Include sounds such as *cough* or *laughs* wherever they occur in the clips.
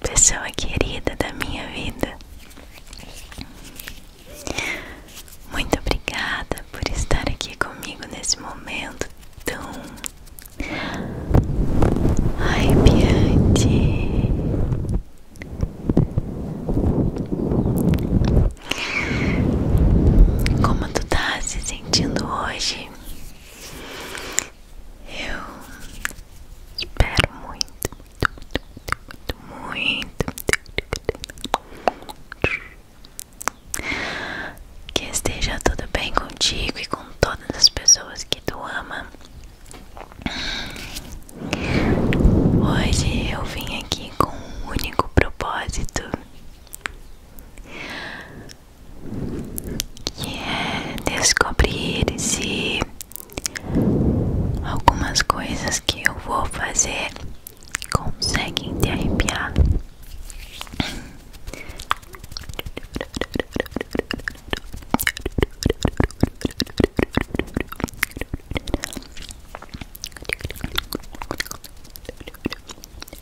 pessoa querida da minha vida. Muito obrigada por estar aqui comigo nesse momento tão arrepiante. Como tu tá se sentindo hoje? Eu espero muito, muito, muito, muito, que esteja tudo bem contigo e com todas as pessoas que tu ama. Hoje eu vim aqui com um único propósito que é descobrir se algumas coisas que eu vou fazer conseguem te arrepiar.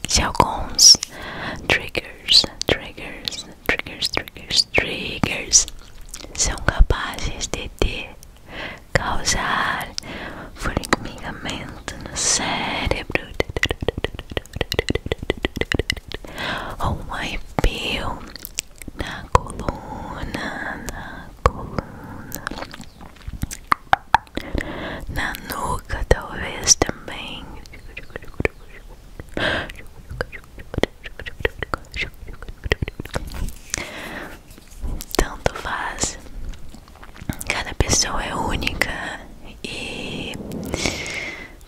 Se alguns triggers, triggers triggers, triggers, triggers são capazes de te causar formigamento no cérebro ou um arrepio na coluna, na coluna, na nuca talvez também. Tanto faz. Cada pessoa é única e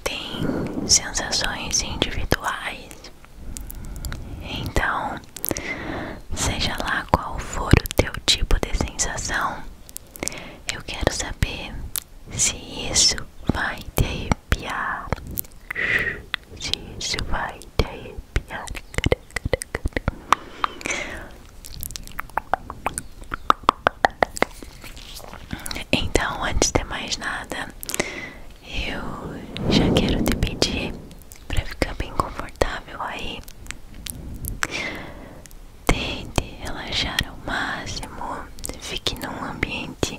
tem sensações individuais. Então, seja lá qual for o teu tipo de sensação, eu quero saber se isso vai ter arrepiar. Isso vai te arrepiar. Então, antes de mais nada, eu já quero te pedir para ficar bem confortável aí. Tente relaxar ao máximo, fique num ambiente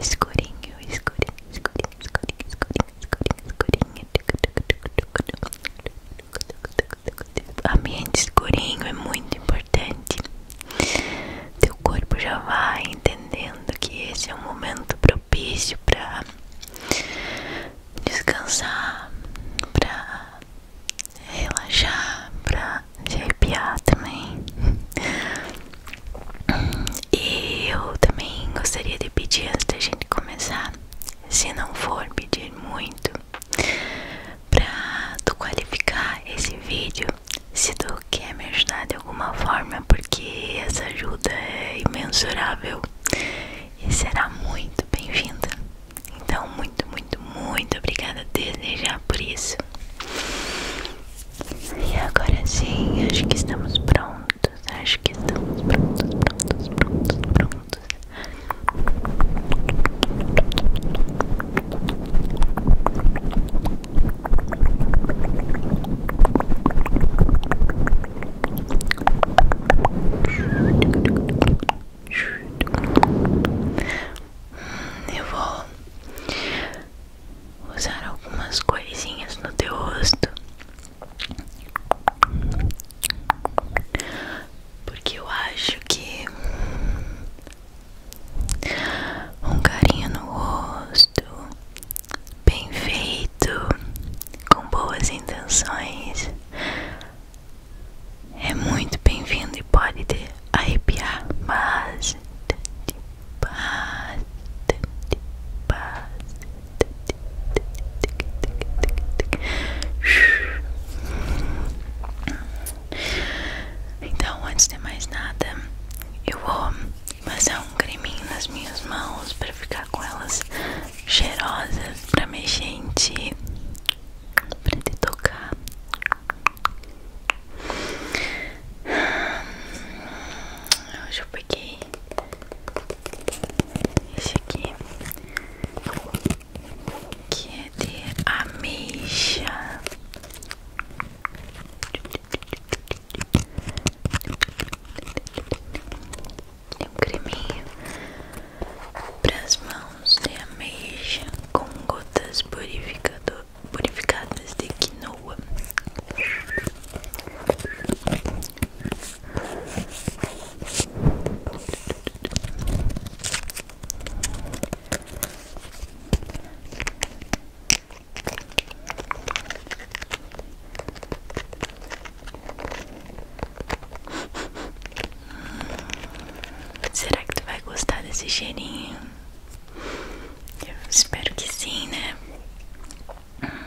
escurinho, escurinho, escurinho, escurinho, escurinho, escurinho, escurinho. Ambiente escurinho é muito importante. Teu corpo já vai entendendo que esse é um momento propício para descansar, para relaxar, para de arrepiar também. E eu também gostaria de pedir antes da gente começar, se não for pedir muito, para tu qualificar esse vídeo, se tu quer me ajudar de alguma forma, porque essa ajuda é imensurável e será muito bem-vinda. Então, muito, muito, muito obrigada desde já por isso. E agora sim, acho que estamos prontos. Acho que estamos prontos, prontos, prontos, prontos. Hum, eu vou usar algumas coisinhas no teu rosto, porque eu acho que um carinho no rosto, bem feito, com boas intenções, é muito bem-vindo e pode te arrepiar, então, antes de mais nada, eu vou passar um creminho nas minhas mãos para ficar com elas cheirosas, para me gente ti, te tocar. Hoje eu peguei esse aqui que é de ameixa. um creminho para as mãos de ameixa com gotas purificador purificadas de quinoa. Será que tu vai gostar desse cheirinho? espero que sim, né? *laughs*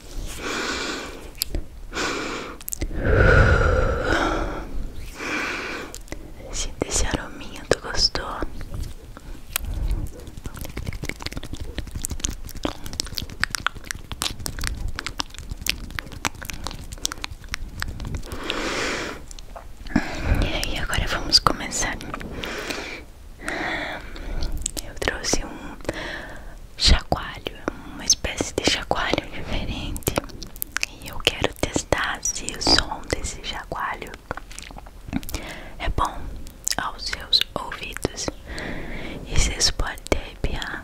Sinta esse arominha, tu gostou? E agora vamos começar. Eu trouxe um chacoalho, é uma espécie de chacoalho diferente. E eu quero testar se o som desse chacoalho é bom aos seus ouvidos. E se isso pode te arrepiar.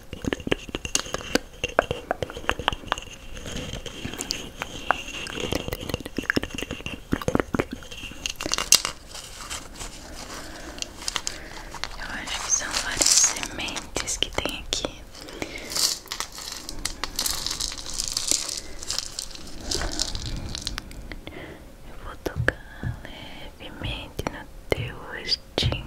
Eu acho que são várias sementes que tem aqui. Eu vou tocar levemente no teu rostinho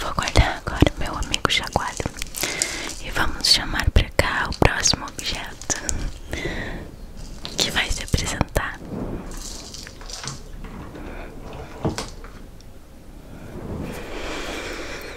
Vou guardar agora meu amigo Jagualho e vamos chamar para cá o próximo objeto que vai se apresentar.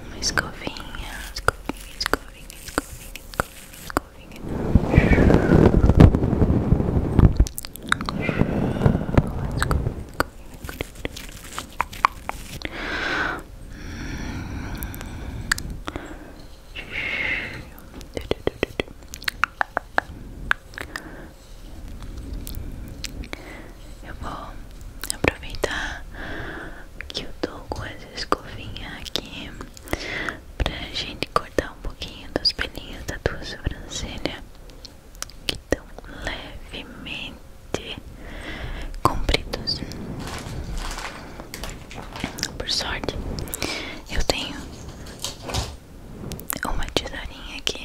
uma escovinha, escovinha, escovinha, escovinha, escovinha, escovinha. Eu vou aproveitar que eu tô com as escovinhas aqui pra gente cortar um pouquinho dos pelinhos da tua sobrancelha que estão levemente compridos. Por sorte, eu tenho uma tesourinha aqui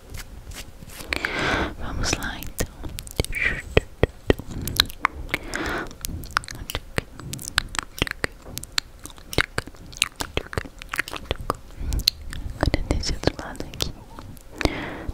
Vamos lá então. Agora desse outro lado aqui. Agora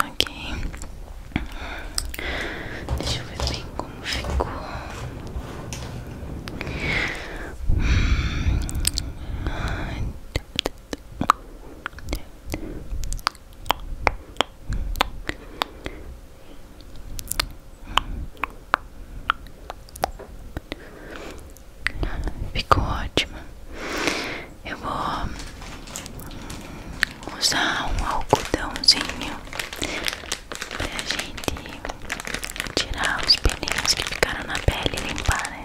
Ok, deixa eu ver bem como ficou. Ficou ótimo. Eu vou usar um algodãozinho pra gente tirar os pelinhos que ficaram na pele e limpar, né?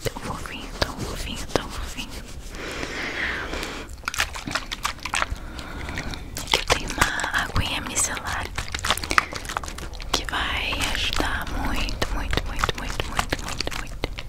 Tão fofinho, tão fofinho, tão fofinho. Aqui eu tenho uma aguinha micelar que vai ajudar muito, muito, muito, muito, muito, muito, muito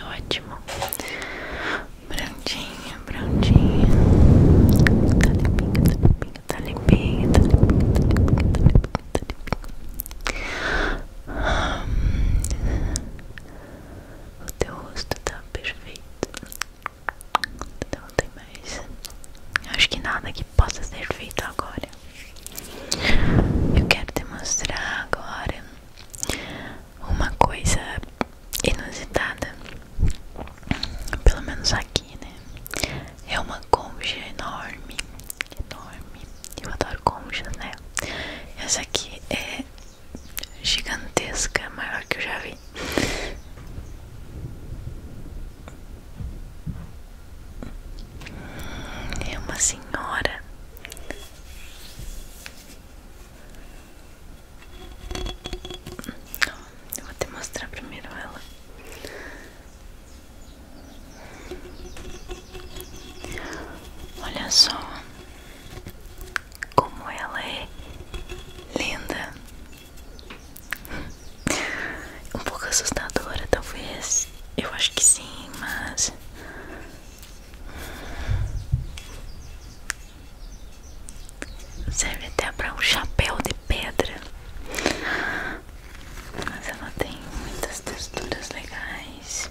Ótimo, prontinho, prontinho. Tá limpinho, tá limpinho, tá limpinho, tá limpinho, tá limpinho, tá limpinho. O teu rosto tá perfeito então Não tem mais Acho que nada que possa ser feito agora Eu quero te mostrar agora Uma coisa inusitada Pelo menos aqui, né? É uma concha enorme enorme. Eu adoro conchas, né? Essa aqui é gigantesca, maior que eu já vi. É uma senhora. Eu vou te mostrar primeiro ela. Olha só como ela é linda, um pouco assustadora, talvez. Eu acho que sim, mas serve até para um chapéu de pedra. Mas ela tem muitas texturas legais.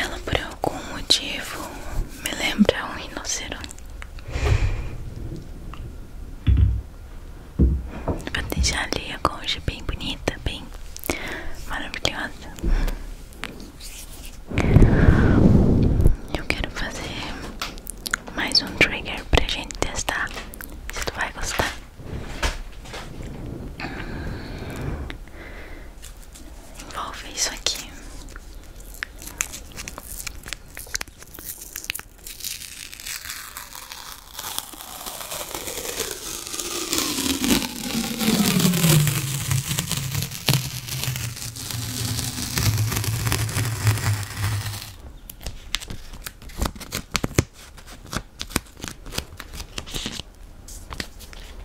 Ela por por algum motivo me lembra um rinoceronte. Vou deixar ali a concha bem bonita, bem maravilhosa. Eu quero fazer mais um trigger para a gente testar se tu vai gostar envolve isso aqui.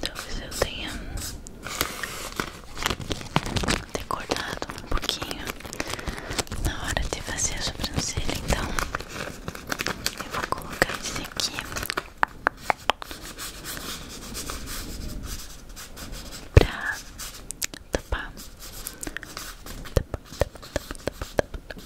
Talvez eu tenha decorado um pouquinho na hora de fazer a sobrancelha, então eu vou colocar isso aqui pra tapar. tapa, tapa, tapa, tapa,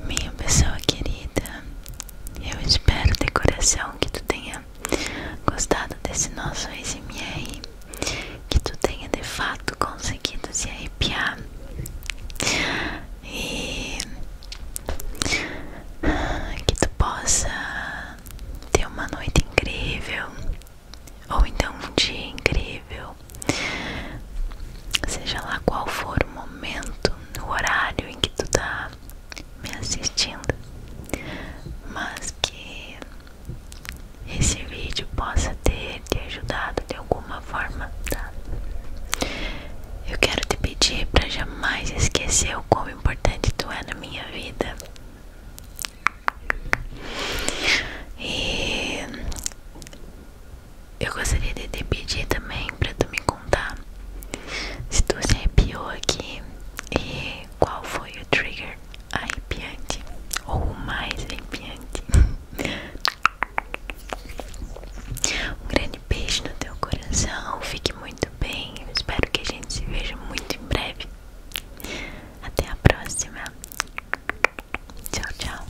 Minha pessoa querida, eu espero de coração que tu tenha gostado desse nosso SMR, que tu tenha de fato conseguido se arrepiar e que tu possa ter uma noite incrível ou então um dia incrível, seja lá qual for o momento no horário em que tu tá me assistindo, mas que esse vídeo possa ter te ajudado de alguma forma, tá? Eu quero te pedir para jamais esquecer o quão importante tu é na minha vida. E eu gostaria de te pedir também para tu me contar se tu se arrepiou aqui e qual foi o trigger arrepiante ou o mais arrepiante. um grande beijo no teu coração, fique muito bem. Eu espero que a gente se veja muito em breve. Até a próxima. Tchau, tchau.